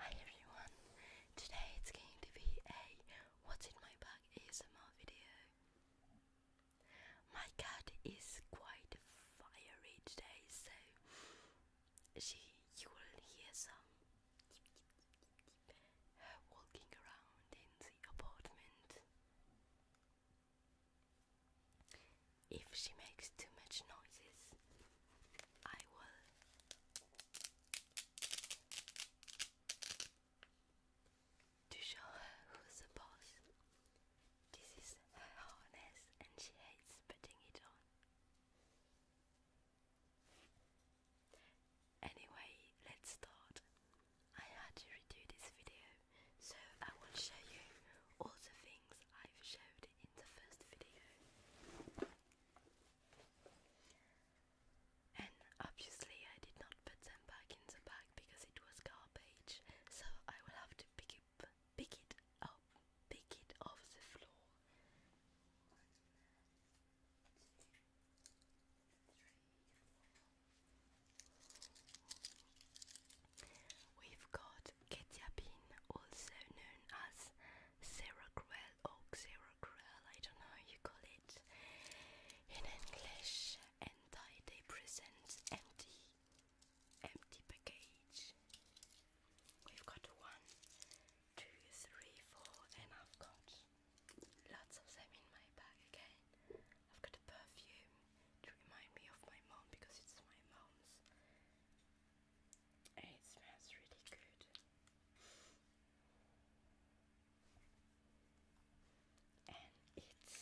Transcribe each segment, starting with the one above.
Hi everyone, today it's going to be a what's in my bag ASMR video. My cat is quite fiery today, so she you will hear some walking around in the apartment. If she makes too much noises, I will show her who's the boss. This is her harness and she hates putting it on. Anyway, let's start. I had to redo this video, so I will show you all the things I've showed in the first video. And obviously I did not put them back in the bag because it was garbage, so I will have to pick it, pick it up, pick it off the floor. We've got Ketia also known as Seracruel or Xeracruel, I don't know how you call it in English. And they present empty, empty package. We've got one, two, three, four, and I've got lots of them in my bag again. I've got a perfume to remind me of my mom because it's my mom's it smells really good. And it's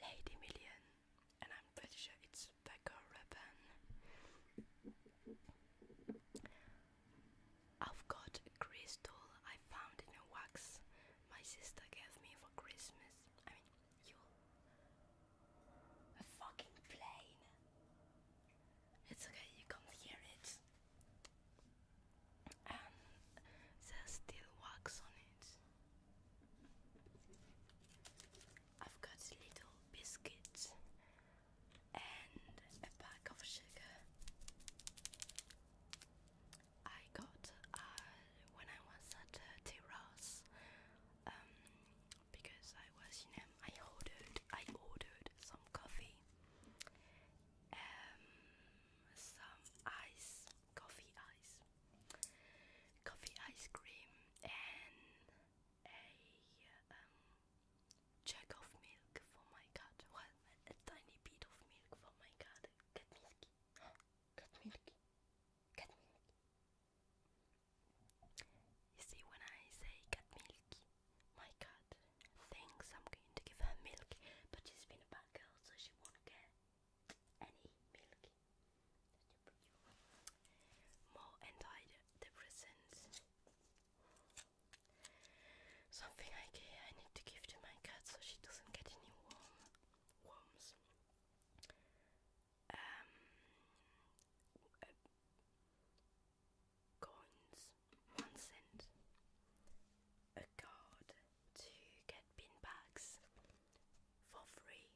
Lady Million, and I'm pretty sure it's Becca Rabanne. I've got a crystal I found in wax my sister gave me for Christmas. A fucking plane. It's okay, you can't hear it. there's still wax on it. I've got little biscuits and a pack of sugar. I got a when I was at uh, Terrace, um, because I was you know, I ordered, I ordered some coffee, um, some ice, coffee ice, coffee ice cream, and a um, jug of milk for my cat. Well, a, tiny bit of milk for my cat. Cat milky. Cat milky. You see, when I say cat milk, my cat thinks I'm going to give her milk, but she's been a bad girl, so she won't get any milk. More antidepressants. Something I, I need to give to my cat so she doesn't get any worms um, uh, coins, one cent, a card to get bin bags for free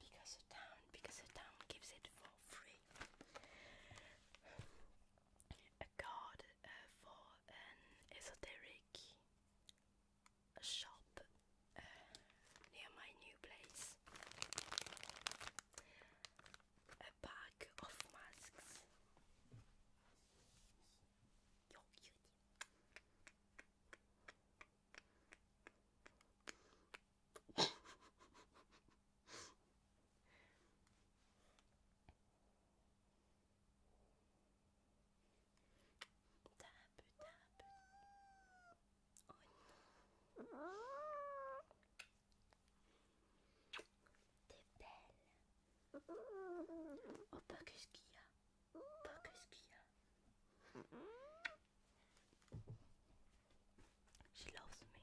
because the town because the town gives it for free card eh, for an esoteric shop eh, near my new place. A pack of masks. you Tape, tape. Oh non. T'es belle. Oh, pas quest She loves me.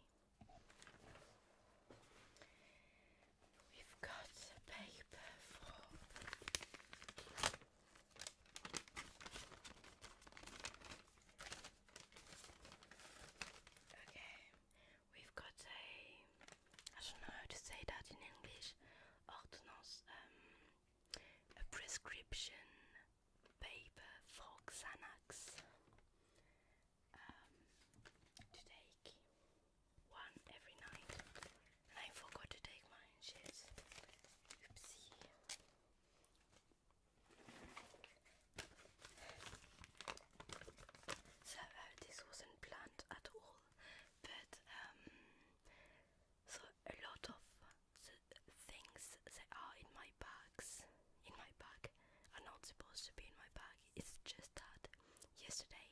We've got the paper for Okay, we've got a I don't know how to say that in English ordinance um, a prescription paper for Xanax um, to take one every night, and I forgot to take my Oopsie. So uh, this wasn't planned at all, but um, so a lot of things that are in my bags, in my bag, are not supposed to be in my bag. It's just that yesterday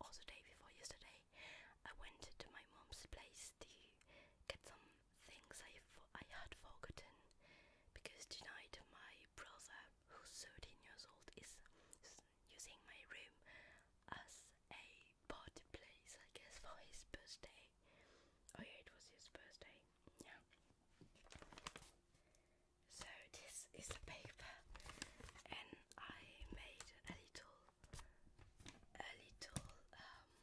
or the day before yesterday, I went to my mom's place to get some things I, I had forgotten because tonight my brother, who's 13 years old, is using my room as a party place, I guess, for his birthday. Oh, yeah, it was his birthday. Yeah. So this is the paper, and I made a little, a little um,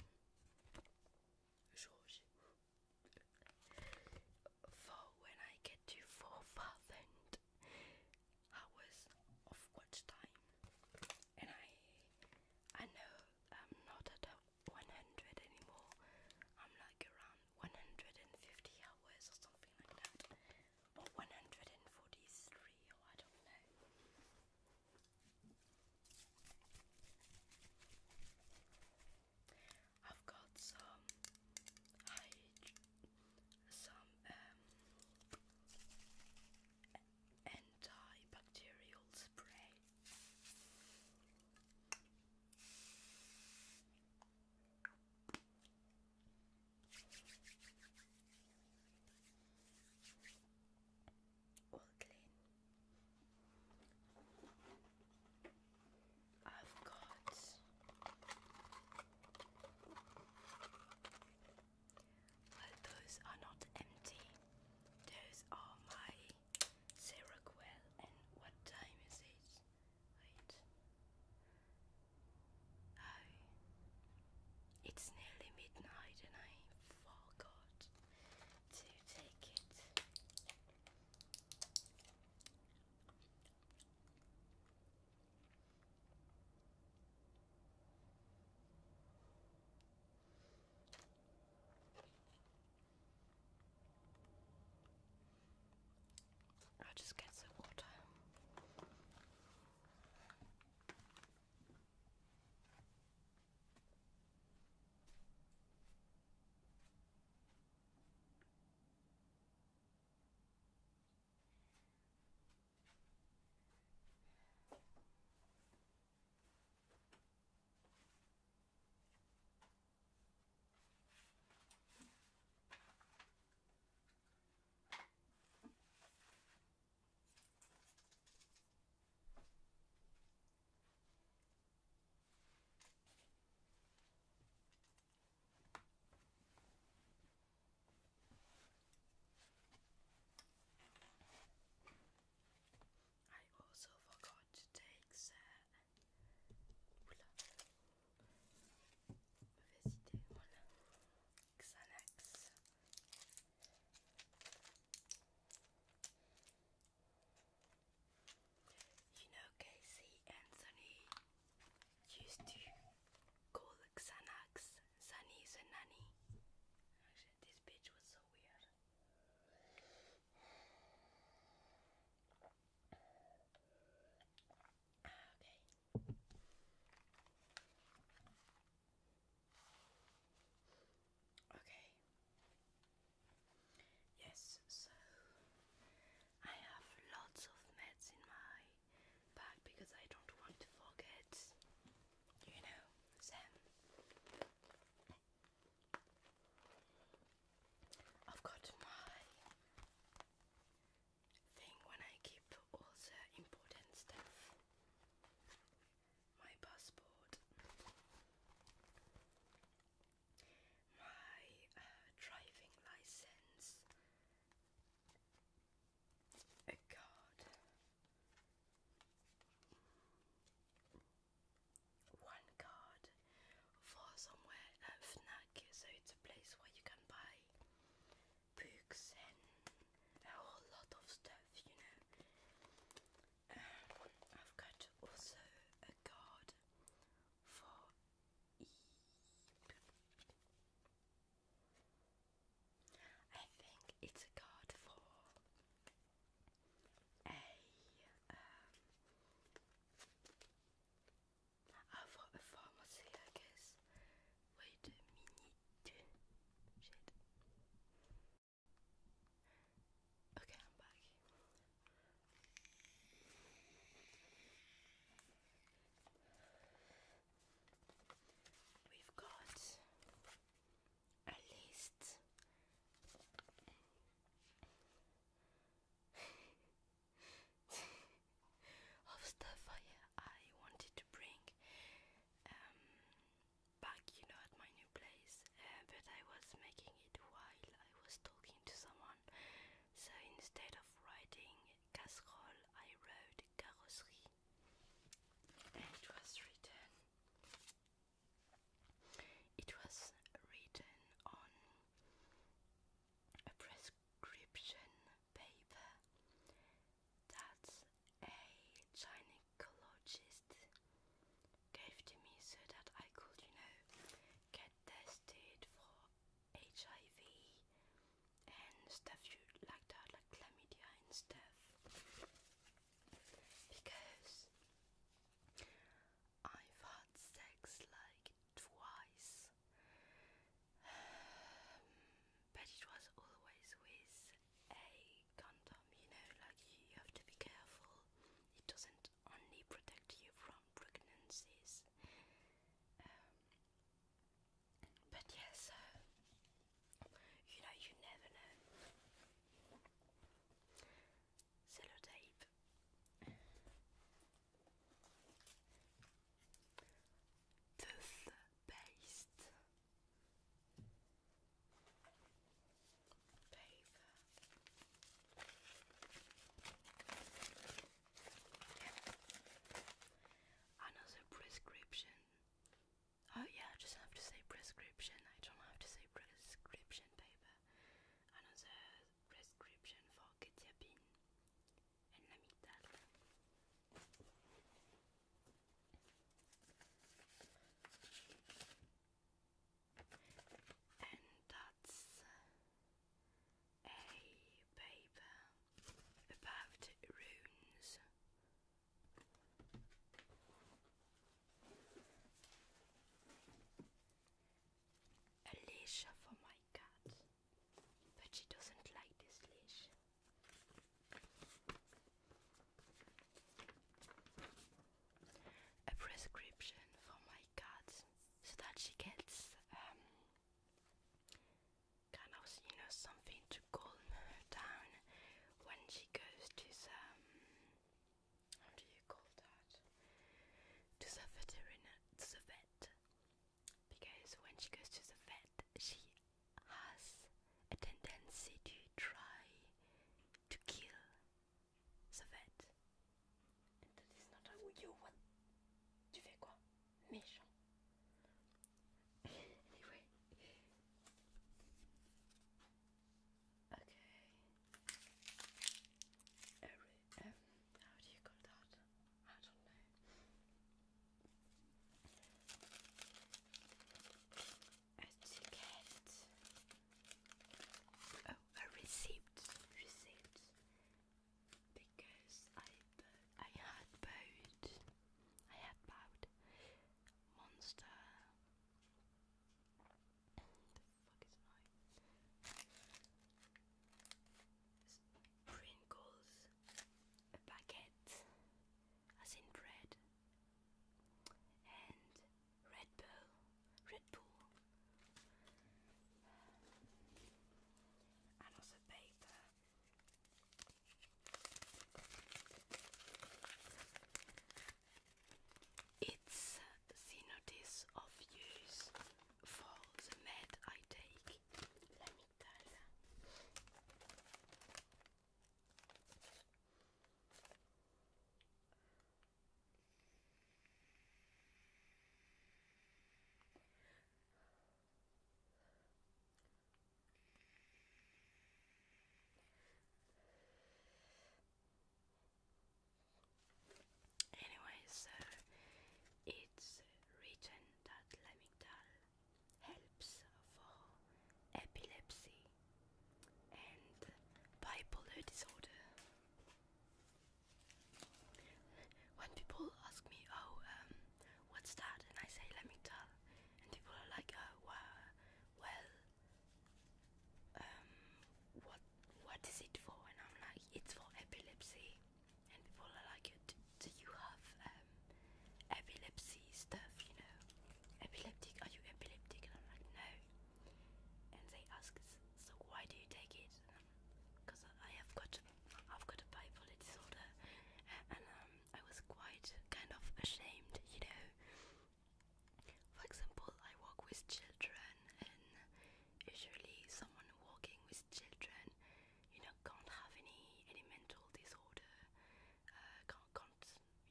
George for when I get to four thousand hours of watch time, and I, I know I'm not at a one hundred anymore. I'm like around one hundred and fifty hours or something like that or 143 I don't know. I've got some some um, antibacterial spray. All clean. I've got well, those are not empty. Those are my Seroquel. And what time is it? Wait. Oh. It's nearly midnight and I forgot to take it. I'll just get some water. I also forgot to take Mauvaise You know, Casey Anthony used to call Xanax Sunny Nanny. Actually, this bitch was so weird. Ah, okay. Okay. Yes, so I have lots of meds in my bag because I don't want to forget, you know, Sam. I've got my thing when I keep all the important stuff. My passport, my uh, driving license, a card, one card, for somewhere at Fnac, so it's a place where you can buy books and a whole lot of stuff, you know. Um, I've got also a card for e I think it's a card for a um, have pharmacy, I guess. Wait a minute. Okay, I'm back. We've got a list. of stuff I, wanted to bring um, back, you know, at my new place. Uh, but I was making it while I was talking to someone. So instead of writing casserole, I wrote carrosserie. it was written. It was written on a press inscription paper that a gynecologist gave to me so that I could, you know, get tested for HIV and stuff like that, like chlamydia and stuff. Because I've had sex like twice but it was always with a condom, you know, like you have to be careful. It doesn't only protect you from pregnancies. Um, but yes, uh, you know, you never know. Sellotape Toothpaste. Paper. Another prescription. Oh yeah, I just have to say prescription. I don't have to say prescription paper. Another prescription for Ketiapine en and that's a paper about runes a leash for my cat but she doesn't like this leash. A prescription for my cat so that she gets um, kind of you know something to calm her down when she goes to some how do you call that to the veteriner to the vet because when she goes to the vet, she has a tendency to try to kill the vet. that is not how you want. Tu fais quoi? Méchant. anyway. Okay. Um, how do you call that? I don't know. A ticket. Oh, a receipt. Receipt. Because I I had bought I had bought Monster fuck is mine? a baguette, bread, and Red Bull, Red Bull, and also paper. It's uh, the notice of use for the med I take. Let me tell you. Anyway, so it's written that Lamictal helps for epilepsy and bipolar disorder. When people ask me, oh, um, what's that? And I say Lamictal, and people are like, oh, well, um, what is it for? And I'm like, it's for epilepsy and people are like, do, do you have um, epilepsy stuff, you know, epileptic, are you epileptic, and I'm like, no, and they ask, so why do you take it, because I have got, I've got a bipolar disorder, and um, I was quite kind of ashamed, you know, for example, I work with children and usually someone walking with children, you know, can't have any any mental disorder, uh, can't can't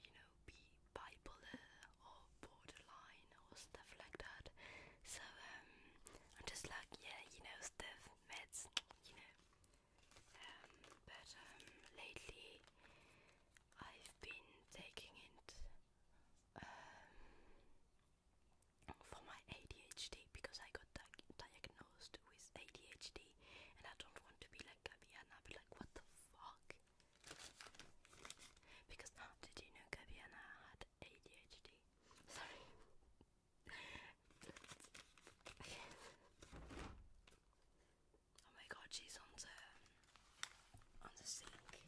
you know be bipolar or borderline or stuff like that. So um, I'm just like yeah, you know, stuff meds, you know. Um, but um, lately I've been taking it. Um, for my ADHD because I got diagnosed with ADHD and I don't want to be like Gabby and I'll be like, what the fuck? Because ah, did you know Gabby had ADHD? Sorry. oh my god, she's on the on the sink.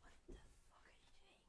What the fuck are you doing?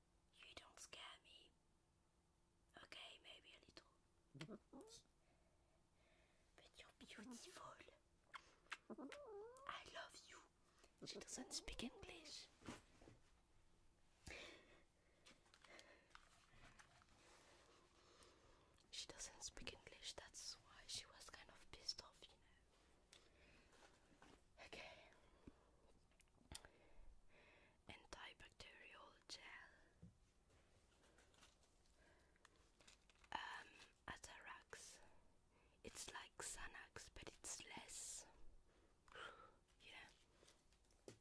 You don't scare me. Okay, maybe a little. But you're beautiful. I love you. She doesn't speak English. She doesn't speak English, that's why she was kind of pissed off, you know. Okay antibacterial gel, um, It's like Xanax, but it's less. yeah.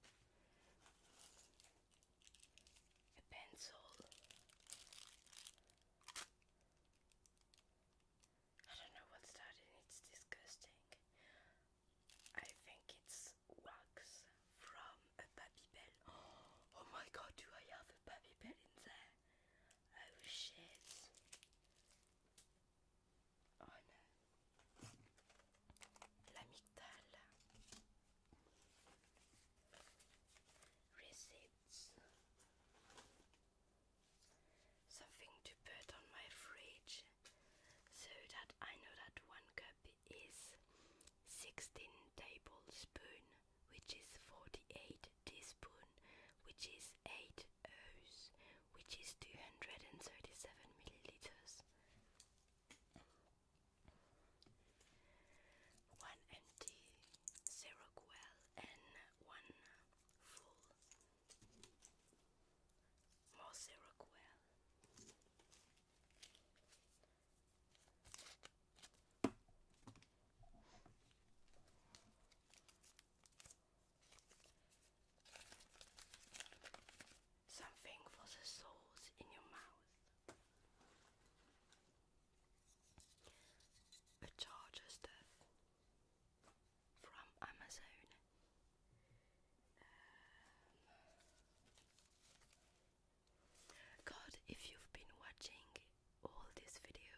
A pencil. I don't know what's that it's disgusting. I think it's wax from a babybel. Oh, oh my god, do I have a babybel in there? Oh shit. Oh no. L'amygdale. Receipts something to put on my fridge so that I know that one cup is 16 tablespoons, which is 48 teaspoons, which is 8 oz which is 237 milliliters one empty zero well and one full Mossy Rockwell. Something for the souls in your mouth. A charger's death from Amazon. Um, God, if you've been watching all this video,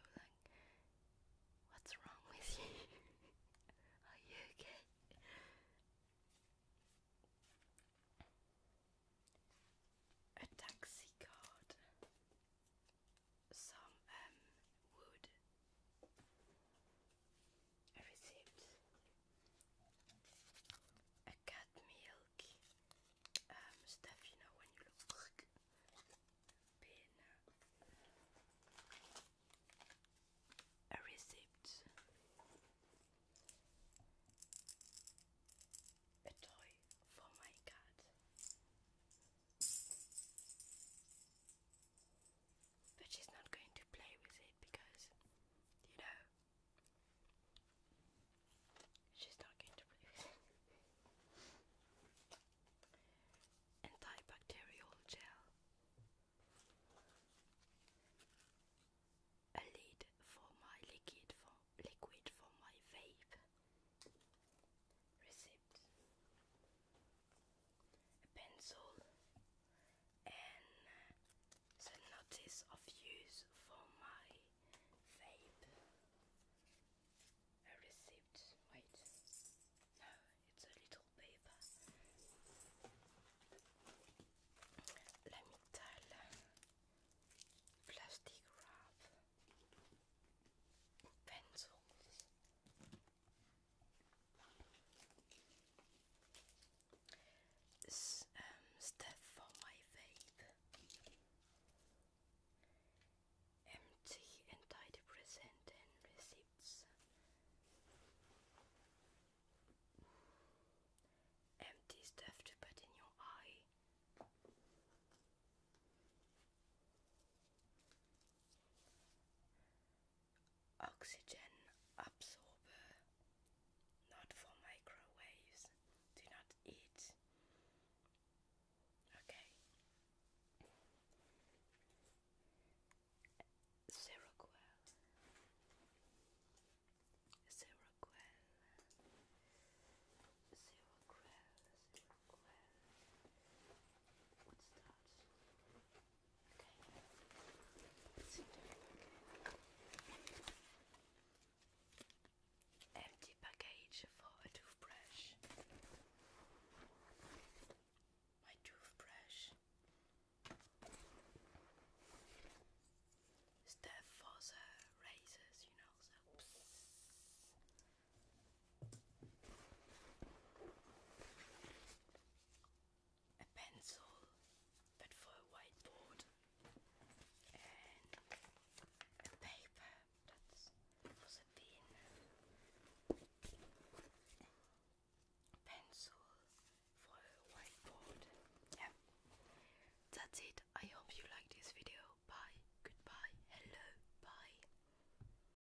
what's wrong with you? Are you okay? A taxi card, some um, wood, I received a cat milk um, stuff, you know, when you look uh, A receipt, a toy for my cat. But she's not going to play with it because, you know, she's not going to play with it. Antibacterial gel. A lid for my liquid for liquid for my vape concept a pencil and the notice of use for my vape a receipt wait no it's a little paper metal plastic wrap pencils S um, for my vape. Empty antidepressant receipts. Empty stuff to put in your eye. Oxygen absorber, not for microwaves. Do not eat. Okay. Seroquel. Seroquel. Seroquel. Seroquel. What's that? Okay. Empty package for a toothbrush. My toothbrush. Stuff for you know, so a pencil, but for a whiteboard, and a paper that's was a pen, pencil for a whiteboard. Yeah, that's it. I hope you like this video. Bye. Goodbye. Hello. Bye.